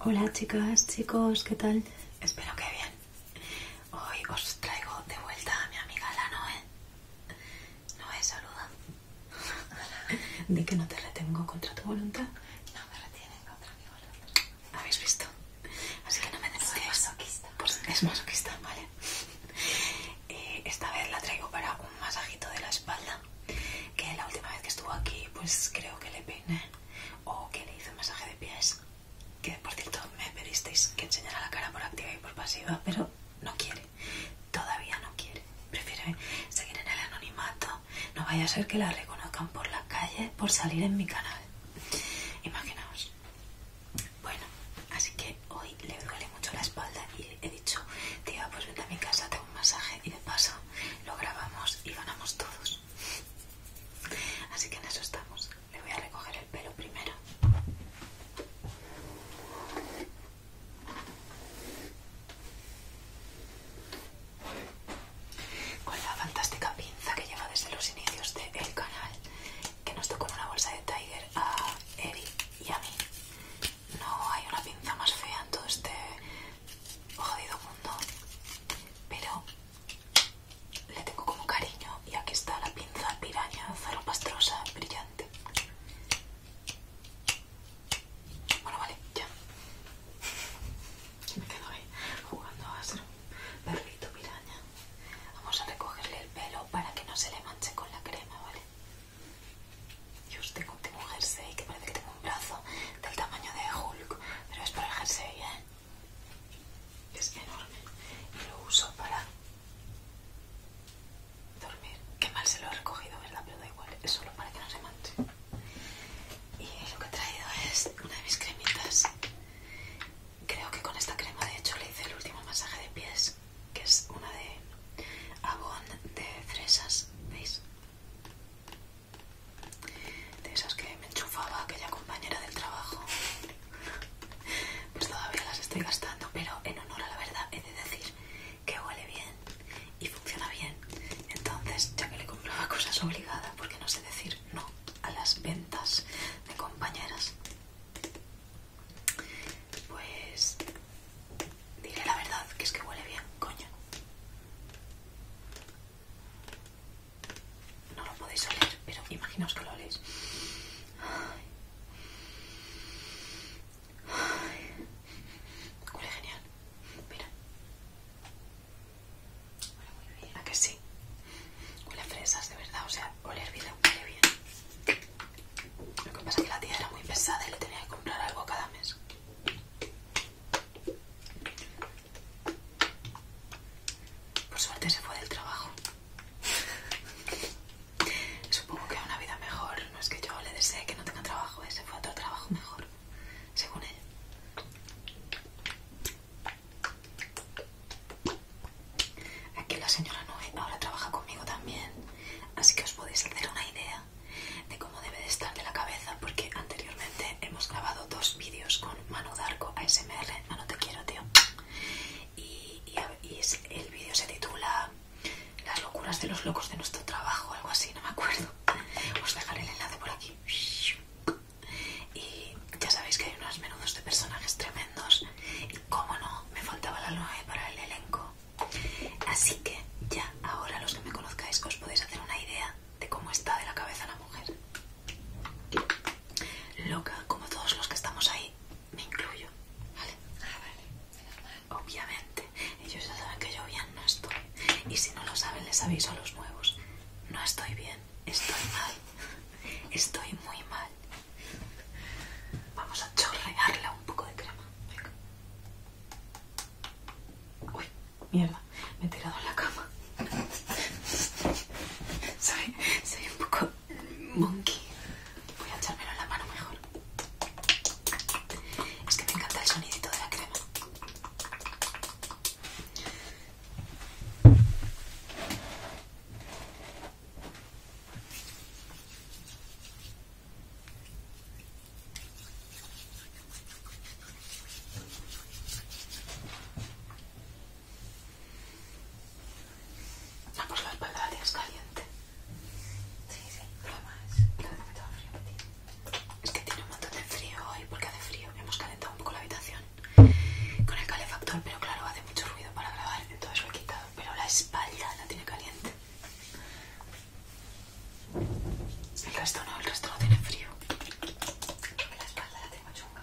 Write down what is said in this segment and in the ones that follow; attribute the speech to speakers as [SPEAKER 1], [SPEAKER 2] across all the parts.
[SPEAKER 1] Hola chicas, chicos, ¿qué tal? Espero que bien. Hoy os traigo de vuelta a mi amiga la ¿eh? Noé. Noé, saluda. De que no te retengo contra tu voluntad. No me retienen contra mi voluntad. ¿Habéis visto? Así que no me Es masoquista. Pues es masoquista, ¿vale? Eh, esta vez la traigo para un masajito de la espalda. Que la última vez que estuvo aquí, pues creo que le peiné o que le hice un masaje de pies, que por cierto me pedisteis que enseñara la cara por activa y por pasiva, pero no quiere, todavía no quiere, prefiere seguir en el anonimato, no vaya a ser que la reconozcan por la calle por salir en mi canal, imaginaos. Bueno, así que hoy le duele mucho la espalda y he dicho, tía, pues vete a mi casa, te hago un masaje y de paso lo grabamos y ganamos todos. Así que en eso estamos. Le voy a recoger el pelo primero. Con la fantástica pinza que lleva desde los inicios del canal, que nos tocó una bolsa de Tiger a Eri y a mí. No hay una pinza más fea en todo este jodido mundo pero le tengo como cariño y aquí está la pinza piraña zaropastrosa brillante bueno vale ya me quedo ahí jugando a ser perrito piraña vamos a recogerle el pelo para que no se le manche con la crema vale yo os tengo, tengo un jersey que parece que tengo un brazo del tamaño de Hulk, pero es para el jersey, ¿eh? Es enorme. Y lo uso para dormir. Qué mal se lo he recogido, ¿verdad? Pero da igual, es solo para que no se manche. Y lo que he traído es una de mis cremitas. Creo que con esta crema, de hecho, le hice el último masaje de pies, que es una de Avon de fresas, ¿veis? de esas que me enchufaba aquella compañera del trabajo pues todavía las estoy gastando pero en honor a la verdad he de decir que huele bien y funciona bien entonces ya que le compraba cosas obligadas porque no sé decir no a las ventas de compañeras pues Diré la verdad, que es que huele bien, coño. No lo podéis oler, pero imaginaos que lo oléis. Huele genial. Mira. Huele muy bien. ¿A que sí? Huele fresas, de verdad. O sea, oler bien huele bien. Lo que pasa es que la tía era muy pesada y le tenía que comprar algo cada mes. Por suerte se fue del trabajo. Supongo que una vida mejor. No es que yo le desee que no tenga trabajo, eh, se fue a otro trabajo mejor, según él. Aquí la señora Noé ahora trabaja conmigo también, así que os podéis hacer una idea de cómo debe de estar de la cabeza porque anteriormente hemos grabado dos vídeos con Manu Darko ASMR, no te quiero tío y, el vídeo se titula Las locuras de los locos de nuestro trabajo, algo así, no me acuerdo os dejaré el enlace por aquí y ya sabéis que hay unos menudos de personajes tremendos y como no, me faltaba la noe para el elenco así que ya Ahora los que me conozcáis os podéis hacer una idea de cómo está de la cabeza la mujer. Loca, como todos los que estamos ahí, me incluyo. Ah, Obviamente, ellos ya saben que yo bien no estoy. Y si no lo saben, les aviso a los nuevos. No estoy bien, estoy mal. Estoy muy mal. Vamos a chorrearla un poco de crema. Uy, Mierda, me he tirado en la cama. Soy, soy un poco monkey. Voy a echármelo en la mano mejor. Es que me encanta el sonidito de la crema. Ah, pues la espalda la tienes caliente. Sí, sí, lo demás Es que tiene un montón de frío hoy porque hace frío. Hemos calentado un poco la habitación con el calefactor, pero claro, hace mucho ruido para grabar, entonces lo he quitado. Pero la espalda la tiene caliente. El resto no, el resto no tiene frío. La espalda la tengo chunga.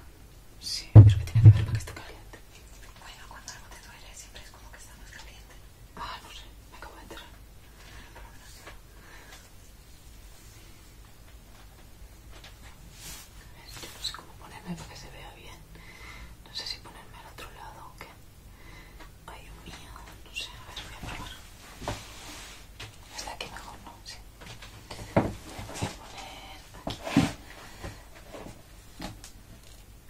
[SPEAKER 1] Sí, pero que tiene que ver con que está caliente. Bueno, cuando algo te duele siempre es como que está más caliente. Ah, no sé, me acabo de enterar. Por lo A Yo no sé cómo ponerme para que se vea bien. No sé si ponerme al otro lado o qué. Ay, Dios mío, no sé, a ver, voy a probar. Esta aquí mejor, ¿no? Sí. Voy a poner aquí.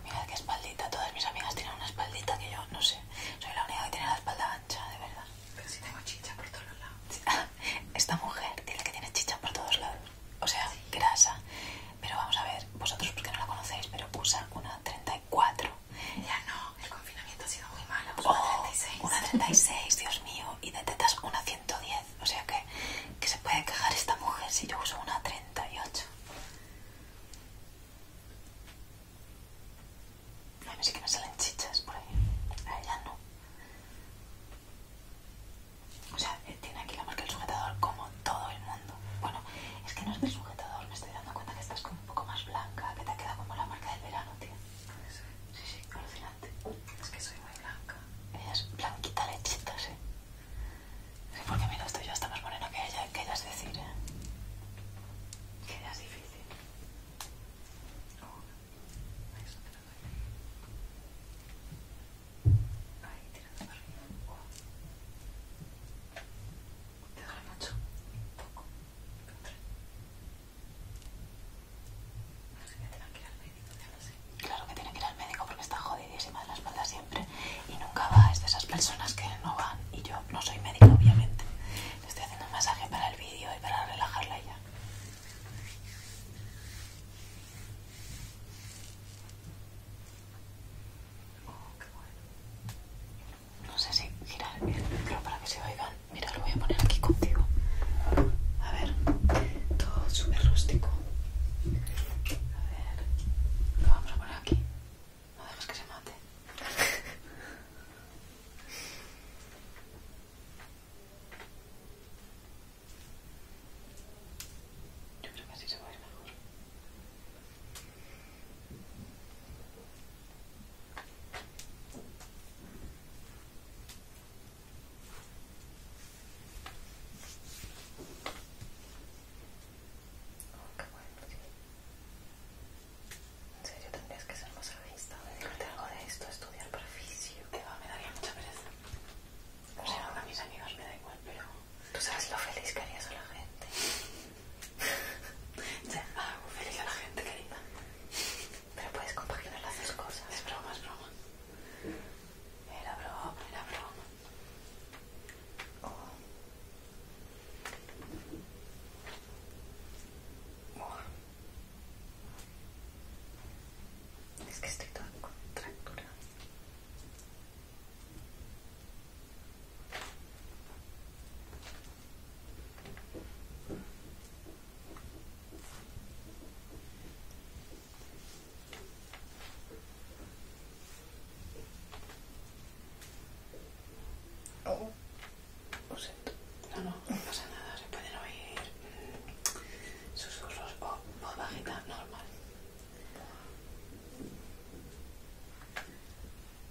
[SPEAKER 1] Mirad qué espaldita, todas mis amigas tienen una espaldita que yo no sé. Soy la única que tiene la espalda ancha, de verdad. Pero si tengo chicha por todos lados. Esta mujer tiene que tiene chicha por todos lados. O sea, grasa. Pero vamos a ver, vosotros porque no la conocéis, pero usa una 34 ya no, el confinamiento ha sido muy malo. Oh, una 36. Una 36, Dios mío. Y de tetas una 110. O sea que, que se puede quejar esta mujer si yo uso una 38. A mí sí que me salen chichas por ahí. A ella no. O sea, eh, tiene aquí la marca del sujetador como todo el mundo. Bueno, es que no es del sujetador, me estoy dando cuenta que estás con un poco más blanca, que te ha quedado como la marca del verano, tío. Sí, sí, sí alucinante. Es que soy muy blanca. es blanquita lechita, sí. Sí, porque mira, esto yo hasta más moreno que ella, que es decir, ¿eh? Que ella es difícil. Oh, ahí, arriba. ¿Te mucho? Un poco. Claro que tiene que ir al médico porque está jodidísima de la espalda siempre y nunca va, es de esas personas que no van y yo no soy médico obviamente. Le estoy haciendo un masaje para el vídeo y para relajarla ya. Oh, no sé si girar el micro para que se oigan. Mira, lo voy a poner aquí contigo. A ver, todo súper rústico. A ver, lo vamos a poner aquí. No dejes que se mate. Yo creo que así se va mejor. ¿Qué no En serio, tendrías que ser más revista, dedicarte algo de esto, estudiar perficio Que va, me daría mucha pereza. O sea, a mis amigos me da igual, pero... Tú sabes lo feliz que harías a la gente. Te hago feliz a la gente, querida. Pero puedes compaginar las dos cosas. Es broma, es broma. Era broma, era broma. Es que estoy toda contractura. Oh, no, no, no pasa nada, se pueden oír susurros o bajita normal.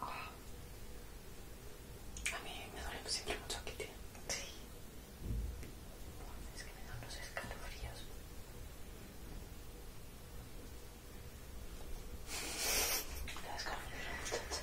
[SPEAKER 1] Ah. A mí me duele siempre mucho aquí, tío. Sí. Es que me dan los escalofríos. me Te escalofríos, muchacha.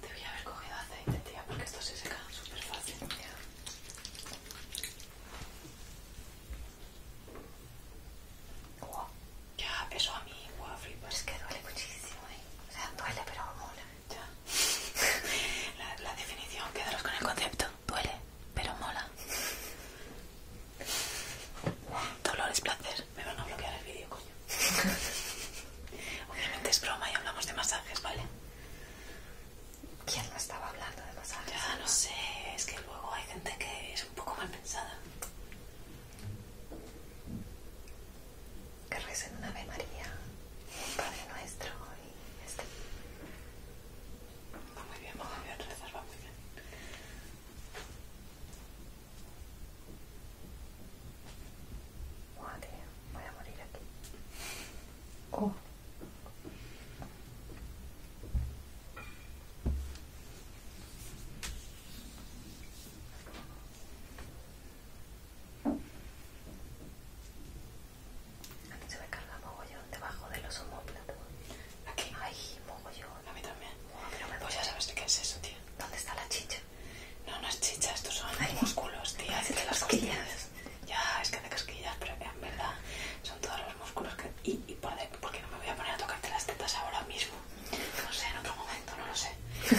[SPEAKER 1] debería haber cogido aceite, tía, porque estos se secan súper fácil. Ya, eso a mí, wow, flipas. Es que duele muchísimo, ¿eh? O sea, duele, pero mola. Ya. la, la definición, quedaros con el concepto. Duele, pero mola. Dolor es placer. Me van a bloquear el vídeo Obviamente es broma y hablamos de masajes, ¿vale? ¿Quién no estaba hablando de masajes? Ya no sé, es que luego hay gente que es un poco mal pensada. Que recen un Ave María, un Padre Nuestro y este. Va muy bien, va muy bien, rezar va muy bien. Madre, voy a morir aquí. Oh. A mí se me carga mogollón debajo de los homóplatos. Aquí. Ay, mogollón. A mí también. pero me pues ya sabes de qué es eso, tío. ¿Dónde está la chicha? No, no es chicha, estos son músculos, tía, que de las costillas. Ya, es que te casquillas, pero en verdad son todos los músculos que... Y, y qué porque no me voy a poner a tocarte las tetas ahora mismo. No sé, en otro momento, no lo sé.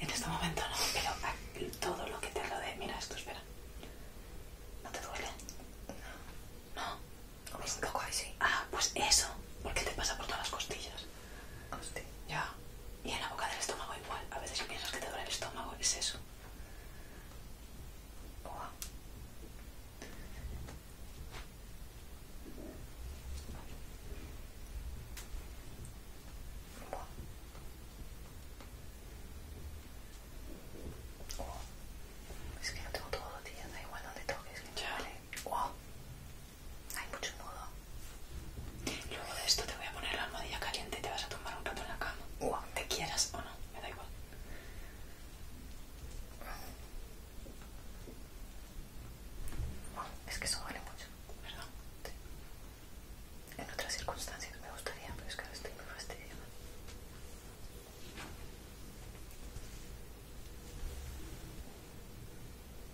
[SPEAKER 1] en este momento no, pero todo lo que te rodee... Mira esto, espera. ¿No te duele? No. ¿No? un poco ahí Ah, pues eso. ¿Por qué te pasa por todas las costillas? Ya. Y en la boca del estómago igual. A veces piensas que te duele el estómago es eso. Es que no tengo todo, tía, da igual donde toques, que chale. Hay mucho nudo. Luego de esto te voy a poner la almohadilla caliente y te vas a tomar un rato en la cama. O te quieras o no, me da igual. Es que eso vale mucho, ¿verdad? En otras circunstancias me gustaría, pero es que ahora estoy muy fastidiada.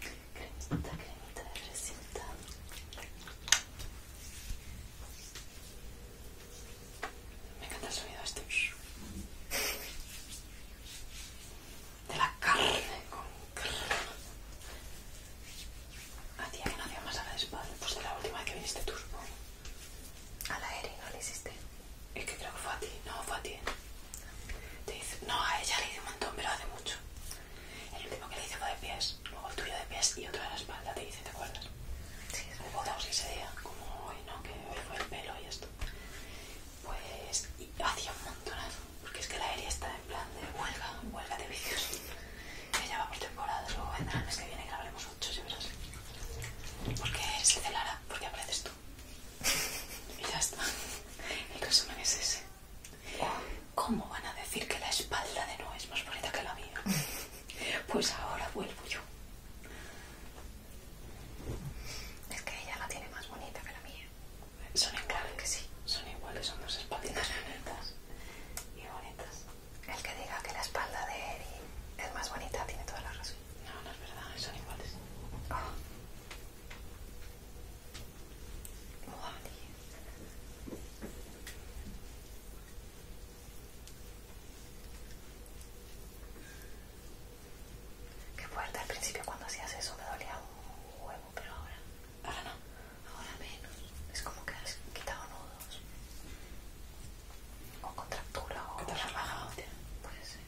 [SPEAKER 1] cremita, cremita de me encanta el sonido de este de la carne con A hacía que no hacía más a la espalda pues de la última vez que viniste tú a la Eri no le hiciste es que creo que fue a ti no fue a ti ¿eh? te dice... no a ella le hice un montón pero hace mucho el último que le hice fue de pies, luego el tuyo de pies y otro de la espalda, te dice ¿te acuerdas? Sí, es ese día, como hoy, ¿no? Que hoy fue el pelo y esto. Pues hacía un montonazo, porque es que la aérea está en plan de huelga, huelga de vicios. Que ya va por temporadas, luego vendrá el mes que viene, grabaremos ocho, ya verás. Porque se celará, porque apareces tú. Y ya está. El resumen es ese. ¿Cómo van a decir que la espalda de Noé es más bonita que la mía? Pues ahora vuelvo yo. Es que ella la tiene más bonita que la mía. Son iguales, que sí. Son iguales, son dos espalditas bonitas y bonitas. El que diga que la espalda de Eri es más bonita tiene toda la razón. No, no es verdad, son iguales. Oh. Qué fuerte, al principio cuando hacías eso me dolía un huevo, pero ahora, ahora no, ahora menos. Es como que has quitado nudos. O contractura o... te has relajado. Puede ser.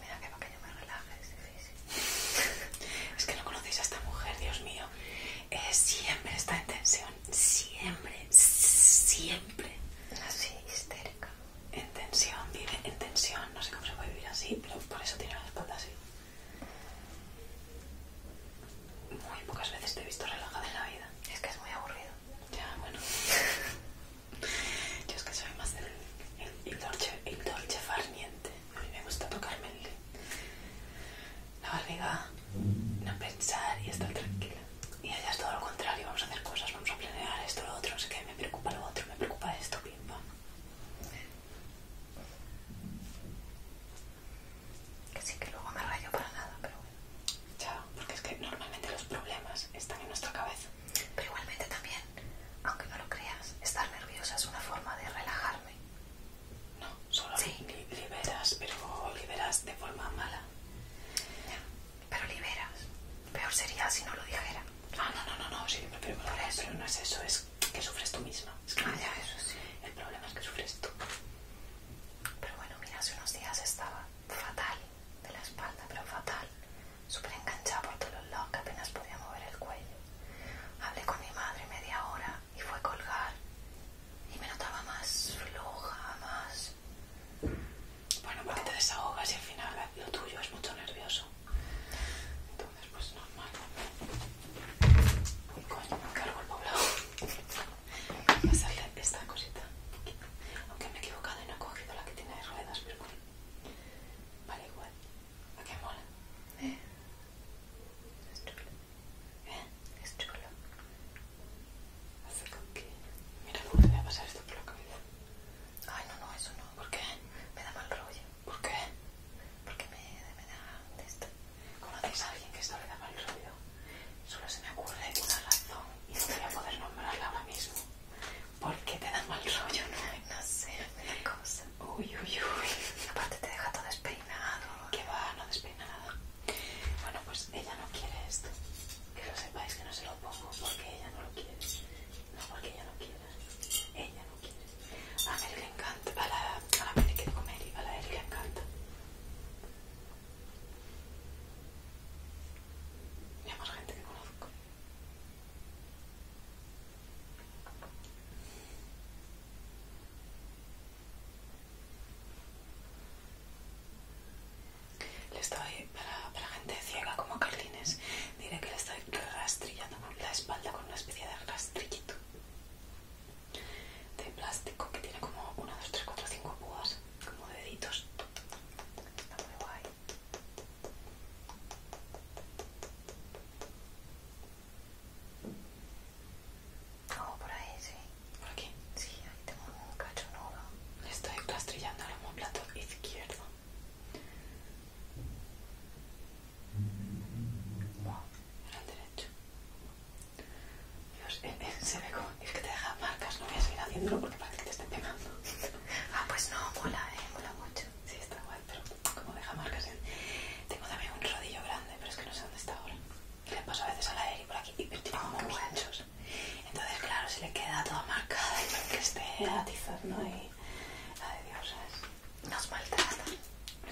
[SPEAKER 1] Mira que para que yo me relaje es es que no conocéis a esta mujer, Dios mío. Eh, siempre está en tensión. Siempre. Siempre. Así, histérica. En tensión, vive en tensión. No sé cómo se puede vivir así, pero por eso tiene la espalda así. Muy pocas veces te he visto relajada en la vida. Es que es muy aburrido. Ya, bueno. Yo es que soy más el, el, dolce, a mí me gusta tocarme la barriga, no pensar y estar tranquila. Y allá es todo lo contrario, vamos a hacer cosas, vamos a planear esto, lo otro, es que me preocupa lo otro, me preocupa esto, pim, Que sí que luego me rayo para nada, pero bueno. Chao, porque es que normalmente los problemas están en nuestra cabeza. Pero igualmente también aunque no lo creas, estar nerviosa es una forma de relajarme. No, solo liberas, pero liberas de forma mala. pero liberas. Peor sería si no lo dijera. Ah, no, no, no, no, sí, pero, eso. no es eso, es que sufres tú misma. Es ah, ya, eso sí. El problema es que sufres tú. Pero bueno, mira, hace unos días estaba fatal de la espalda, pero fatal súper enganchada por todos los lados que apenas podía mover el cuello. Hablé con mi madre media hora y fue a colgar y me notaba más floja, más... Bueno, porque te desahogas y al final lo tuyo es mucho nervioso. Entonces, pues normal. Uy, coño, me encargo el poblado. Voy a pasarle esta cosita. Aunque me he equivocado y no he cogido la que tiene ruedas, pero bueno. Vale, igual. ¿A qué mola? ¿Eh? Es chulo. ¿Eh? Es chulo. Hace con que... Mira cómo te voy a pasar esto por la cabeza. Ay, no, no, eso no. ¿Por qué? Me da mal rollo. ¿Por qué? Porque me, me da esto. ¿Conoces a alguien que esto le da mal rollo? Solo se me ocurre una razón y no voy a poder nombrarla ahora mismo porque te dan mal rollo, ¿no? sé, Uy, uy, uy. Aparte te deja todo despeinado. Que va, no despeina Bueno, pues ella no quiere esto. Que lo sepáis que no se lo pongo porque ella no lo quiere. No porque ella no quiere. Ella no quiere. A Mary le encanta. A la, a la Mary que a la Eri le encanta. Y más gente que conozco. Le estoy, para, para gente ciega como Carlines, diré que le estoy rastrillando la espalda con una especie de rastrillito de plástico que tiene como una, dos, tres, cuatro, cinco púas, como deditos. Está muy guay. Oh, por ahí, sí. ¿Por aquí? Sí, ahí tengo un cacho nuevo. estoy rastrillando el homoplato izquierdo. era el derecho. Dios, eh, eh, se ve como... Es que te deja marcas, no voy a seguir haciéndolo porque parece que te está pegando. ah, pues no, mola, eh, mola mucho. Sí, está guay pero como deja marcas Tengo también un rodillo grande, pero es que no sé dónde está ahora. Le paso a veces a la Eri por aquí y tiene ah, como oh, Entonces, claro, si le queda toda marcada y que esté atizando ¿no? y... La de Dios, ¿sabes? Nos maltratan.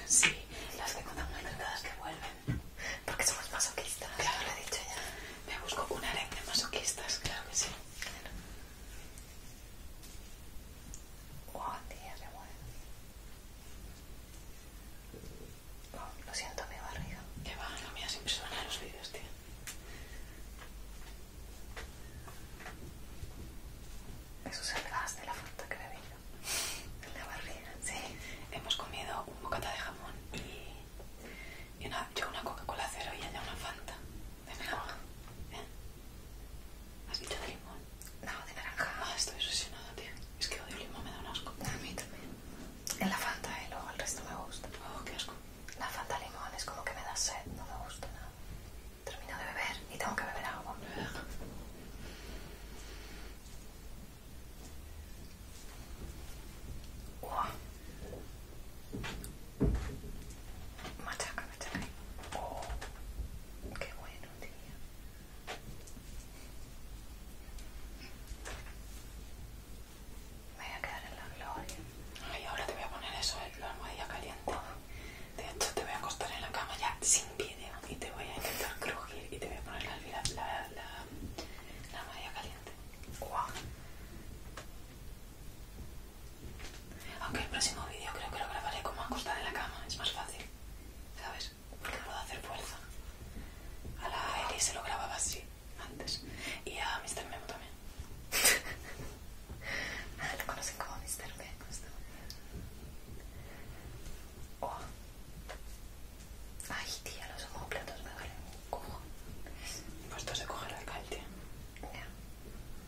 [SPEAKER 1] Sí, las tengo tan maltratadas que vuelven. Porque somos masoquistas. Claro, lo he dicho ya. Me busco un harén de masoquistas, claro que sí. Claro. Oh, qué bueno. Oh, lo siento, mi barriga. Que va, la mía siempre suena en los vídeos, tío. Eso es el gas de la Fanta que bebía. ¿De la barriga, sí. Hemos comido un bocata de jamón y, yo una Coca-Cola cero y ella una Fanta. De naranja. Oh. ¿Eh? ¿Has dicho de limón? No, de naranja. Ah, estoy obsesionada, tío. Es que odio el limón, me da un asco. A mí también. En la Fanta, y eh, luego el resto me gusta. Oh, qué asco. La Fanta limón es como que me da sed, no me gusta nada. Termino de beber y tengo que beber agua. Wow. Machaca, machaca. Oh, qué bueno, tía. Me voy a quedar en la gloria. Ay, ahora te voy a poner eso eh, la almohadilla caliente. De hecho, te voy a acostar en la cama ya sin vídeo eh, y te voy a intentar crujir y te voy a poner la, la, la, la, la almohadilla caliente. ¡Guau! Aunque el próximo vídeo creo que lo grabaré como acostada en la cama, es más fácil, ¿sabes? Porque puedo hacer fuerza. A la Eli se lo grababa así antes y a Mr. Memo también. lo conocen como Mr. Memo. Oh. Ay, tía, los completos me duelen un Pues esto se cogerá el cal, tía.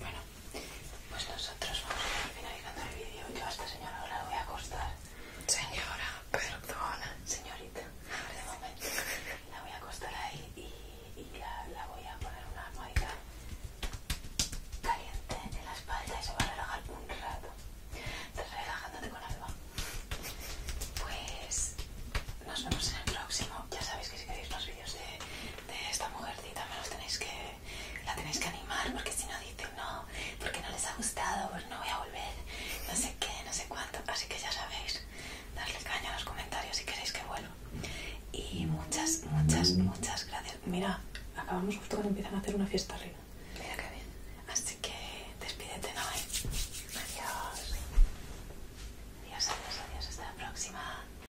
[SPEAKER 1] Bueno, pues nosotros vamos a ir finalizando el vídeo. Yo a esta señora ahora la voy a acostar. Señora, perdona. Señorita, de momento. La voy a acostar ahí y, y la, voy a poner una almohada caliente en la espalda y se va a relajar un rato. Estás relajándote con alma. Pues nos vemos en el próximo. Ya sabéis que si queréis más vídeos de, de esta mujercita me los tenéis que la tenéis que animar porque si no dicen no, porque no les ha gustado, pues no voy a volver, no sé qué, no sé cuánto. Así que ya sabéis, darle caña a los comentarios si queréis que vuelva. Y muchas, muchas, muchas gracias. Mira, acabamos justo cuando empiezan a hacer una fiesta arriba. Mira que bien. Así que despídete, Adiós. Adiós, adiós, adiós. Hasta la próxima.